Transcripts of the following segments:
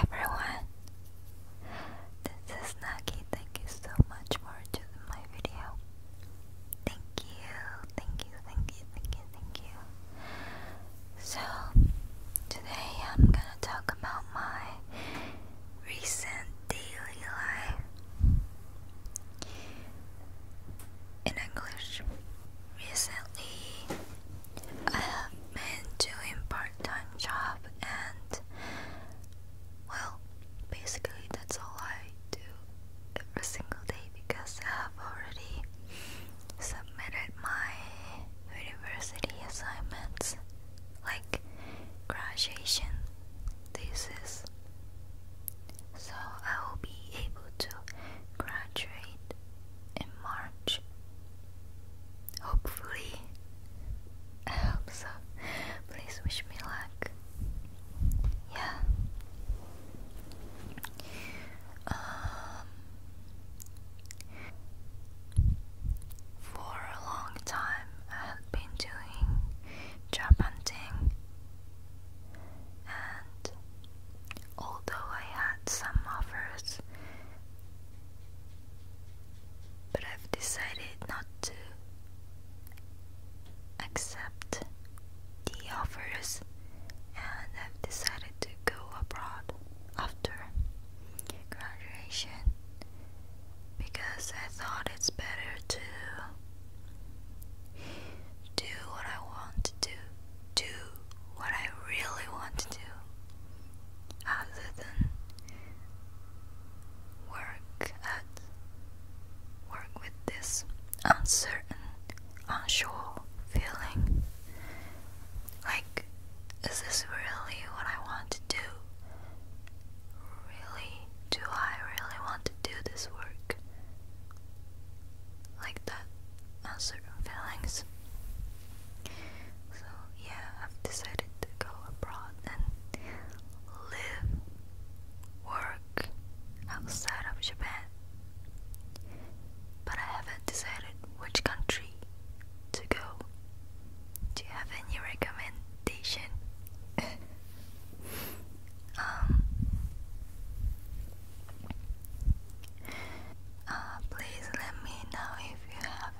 everyone, this is Nagi. Thank you so much for watching my video. Thank you, thank you, thank you, thank you, thank you. So, today I'm gonna talk about my recent daily life in English. Recently, I have been doing part-time job and well, basically that's all I do every single day because I have already submitted my university assignments like graduation this is. So I will be able to graduate in March. Hopefully, I hope so. Please wish me luck. Yeah. Um, for a long time, I have been doing job hunting, and although I had some offers, but I've decided not to accept the offers, and I've decided to go abroad after graduation because I thought it's better to do what I want to do, do what I really want to do, other than work at work with this uncertain, unsure feeling. Like, is this really what I want to do? Really? Do I really want to do this work? Like that uncertain uh, feelings. So yeah, I've decided to go abroad and live, work outside of Japan. But I haven't decided which country to go. Do you have any recommendation? um, uh, please let me know if you have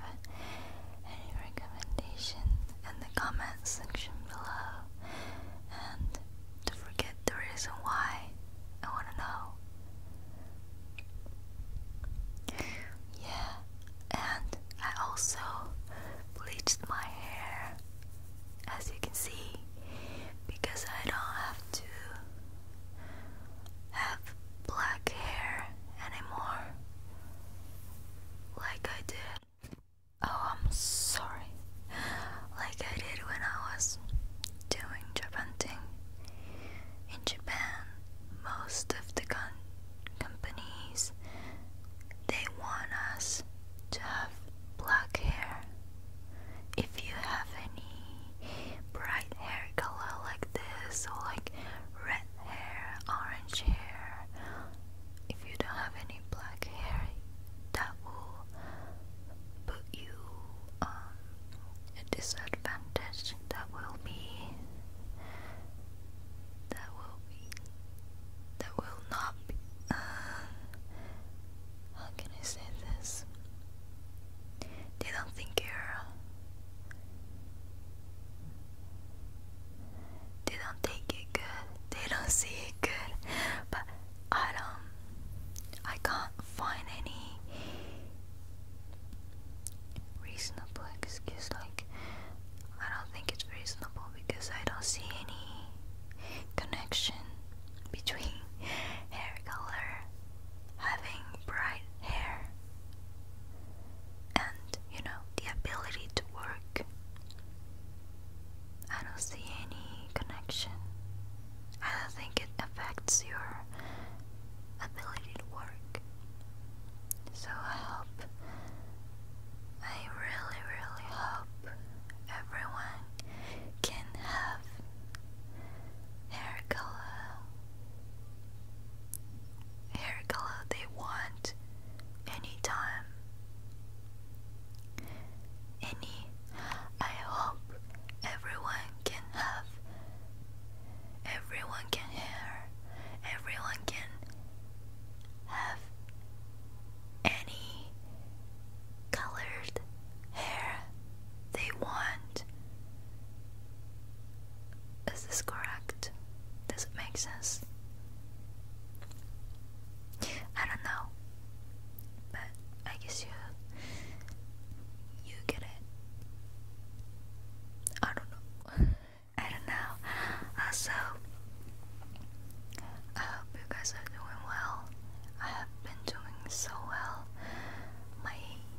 any recommendation in the comment section below. And do forget the reason why. I want to know. Yeah, and I also bleached my hair as you can see because I don't have to have black hair anymore like I did. Oh, I'm sorry. Like I did when I was doing job hunting. In Japan, most of the companies they want us to have black hair. If you have any bright hair color like this, or like red hair, orange hair, if you don't have any black hair, that will put you um, a disadvantage that will be that will be that will not be uh, how can I say this? They don't think you're they don't take it good. They don't see it good. But I don't I can't find any reasonable excuse. Like, I don't think it's reasonable because I don't see any connection between hair color, having bright hair, and you know, the ability to work. I don't see any connection. I don't think it affects your ability to work. So I hope, I really, really hope everyone can have hair color, hair color they want anytime. Any, I hope everyone can have, everyone can hear, everyone can have any colored hair they want. Is this correct? Does it make sense? I don't know, but I guess you you get it. I don't know. I don't know. Also, uh, I hope you guys are doing well. I have been doing so well. My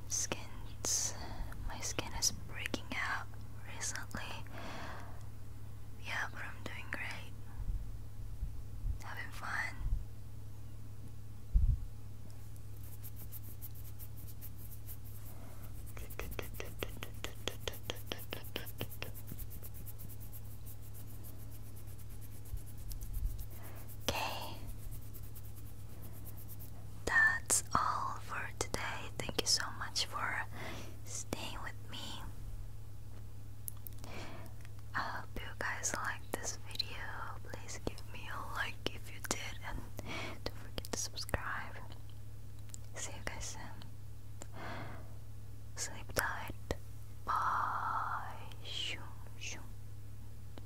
skin's my skin is breaking out recently. Yeah, but I'm doing great. Having fun. Okay, that's all for today. Thank you so much for staying with me. I hope you guys liked this video. Please give me a like if you did, and don't forget to subscribe. See you guys soon. Sleep tight. Bye. Shoo, shoo.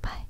Bye.